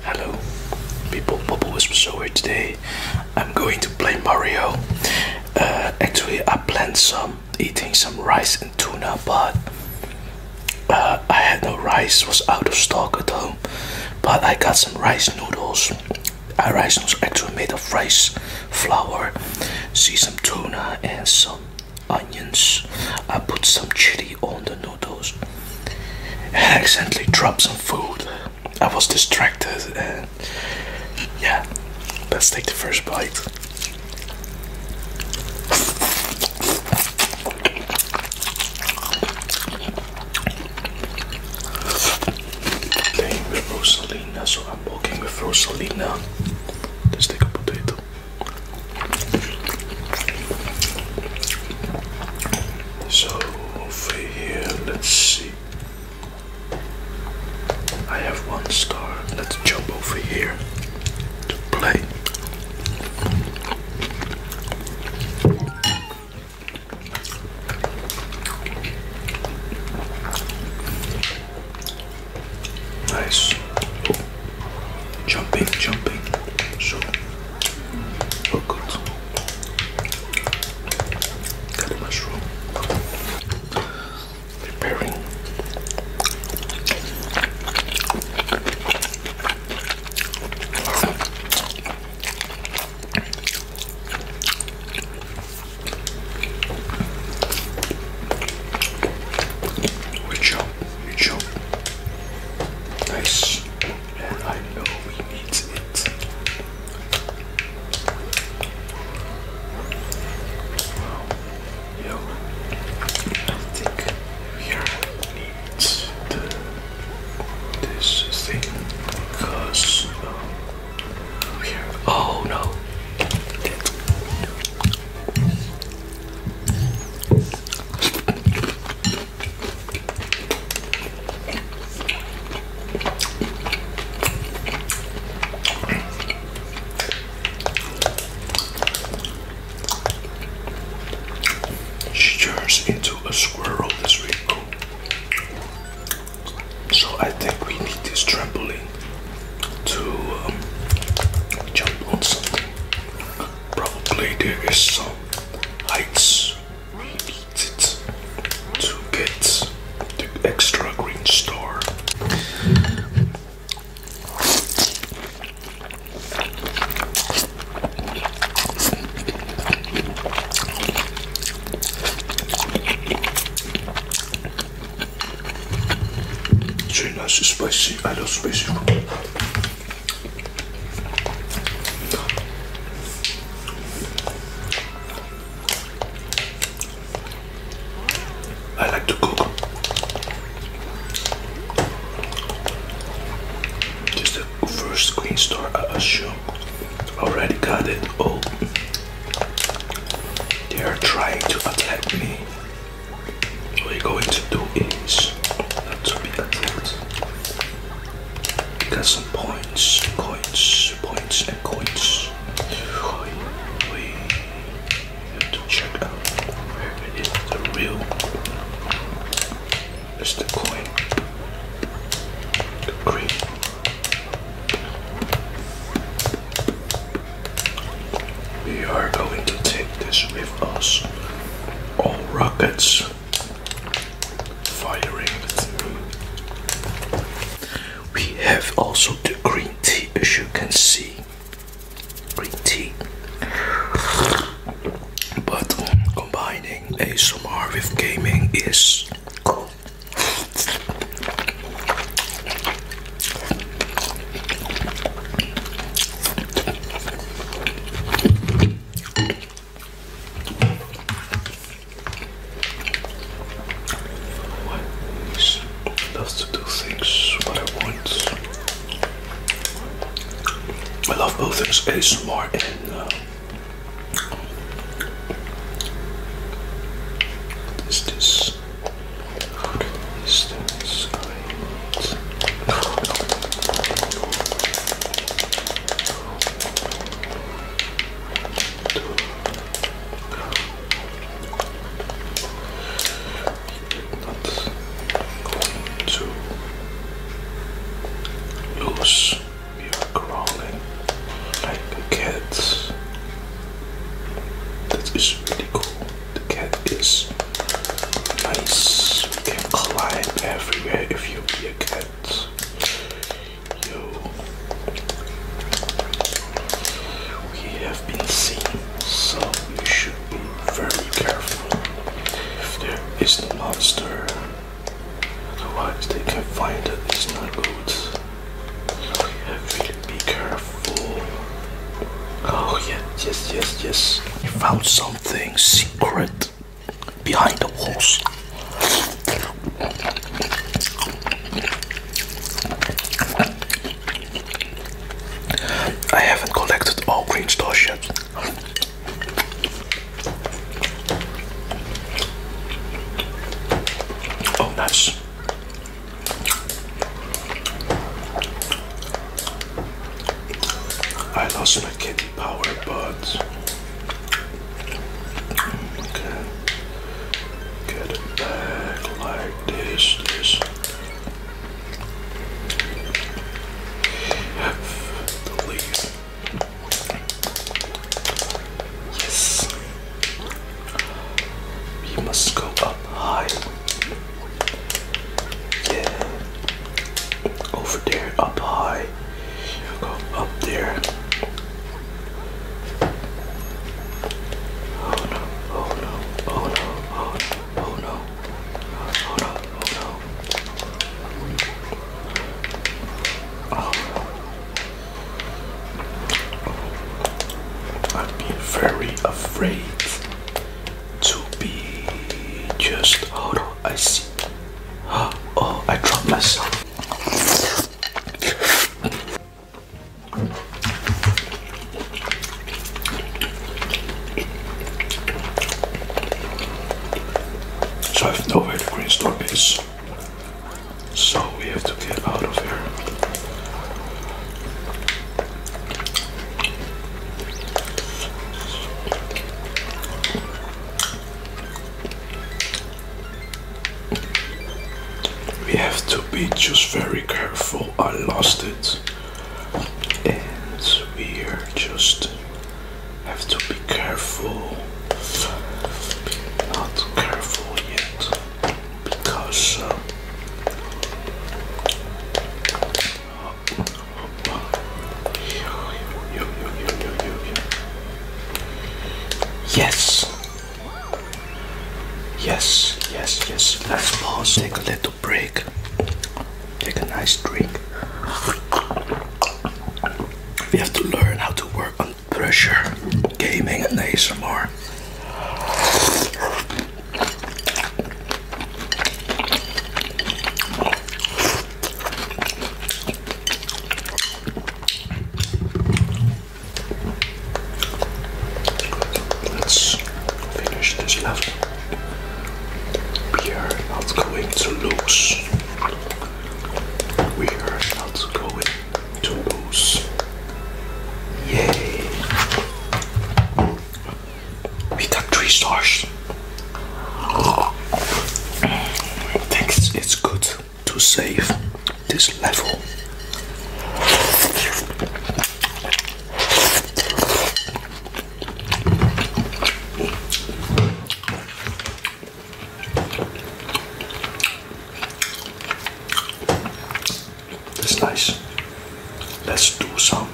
Hello, people, Bubble Whisper today. I'm going to play Mario. Uh, actually, I planned some eating some rice and tuna, but uh, I had no rice, was out of stock at home. But I got some rice noodles. Our uh, rice noodles actually made of rice flour. See some tuna and some onions. I put some chili on the noodles I accidentally dropped some food. I was distracted yeah, let's take the first bite. walking with Rosalina. Let's take a potato. So over here, let's see. I have one star. Let's jump over here to play. Nice jumping, jumping. So we oh good. Got mushroom. Preparing. We chop, we chop. Nice. And I know we need it. Well, I think here need this thing because here. Um, oh no. She turns into a squirrel this week. So I think we need this trampoline to um, jump on something. Probably there is some heights needed to get the extra green star. It's nice spicy. I love spicy I like to cook. This the first screen store I assume. Already got it. Oh, they are trying to attack me we're going to do is not to be some points, coins, points, and coins. We have to check out where is the real. Mr. coin, the we are going to take this with us. All rockets firing We have also the green tea, as you can see. Green tea. But combining ASMR with gaming is cool. What? He loves to do things but I want. I love both things ASMR and uh, what is this? Distance great. Not to lose your crawling like a That is really cool. The cat is nice. You can climb everywhere if you be a cat. you. We have been seen, so you should be very careful. If there is a monster, otherwise they can find it. It's not good. Yeah, really be careful. Oh yeah, yes, yes, yes. I found something secret behind the walls. I haven't collected all green stars yet. Oh, nice. I lost my candy power buds. Okay. Get it back like this, this. The Yes. You must go up high. Yeah. Over there, up high. go up there. oh no, oh no, oh no, oh no, oh no, oh no. Oh no. Oh, I've been very afraid to be just hold on I see oh I dropped myself so I've nowhere to green store is so we have to get out of here. We have to be just very careful. I lost it. And we are just have to be careful. not careful yet because Yes. Yes, yes, yes. Let's pause, take a little break, take a nice drink. We have to learn how to work on pressure gaming and ASMR. Let's finish this last We are not going to lose. We are not going Toulouse. Yay! We got three stars. Thanks, it's good to save this level. That's nice. Let's do some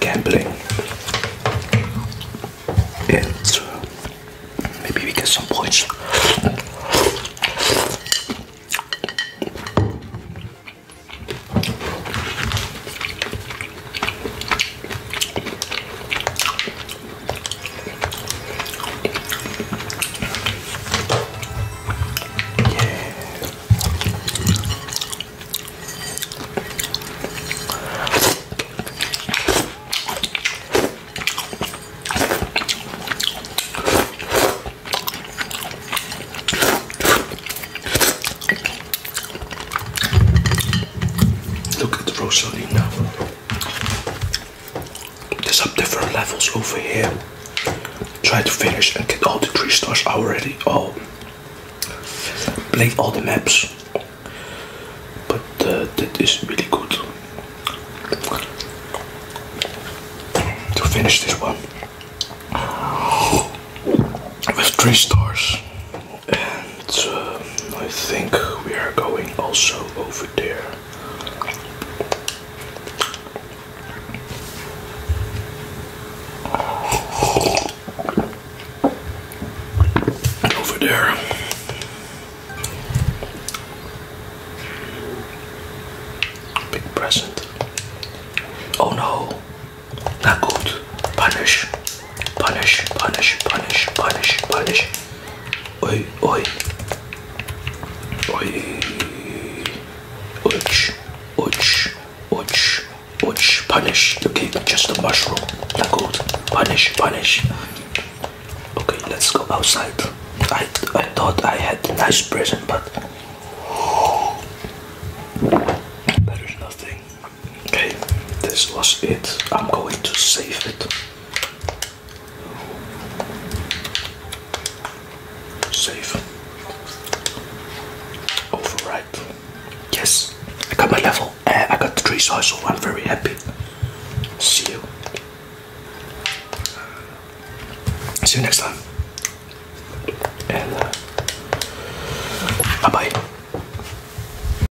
gambling. And uh, maybe we get some points. Look at the Rosalie now. There's some different levels over here. Try to finish and get all the three stars already. Oh, play all the maps, but uh, that is really good to finish this one with three stars. Uh, I think we are going also over there. Over there. Big present. Oh no. Not good. Punish. Punish, punish, punish, punish, punish. Oi, oi. Oi. Ouch. Ouch. Ouch. Ouch. Punish. Okay, just a mushroom. Not good. Punish. Punish. Okay, let's go outside. I, I thought I had a nice present, but... There's nothing. Okay, this was it. I'm going to save it. Save. Override. Yes, I got my level. Uh, I got the three so I'm very happy. See you. See you next time. Uh, bye bye.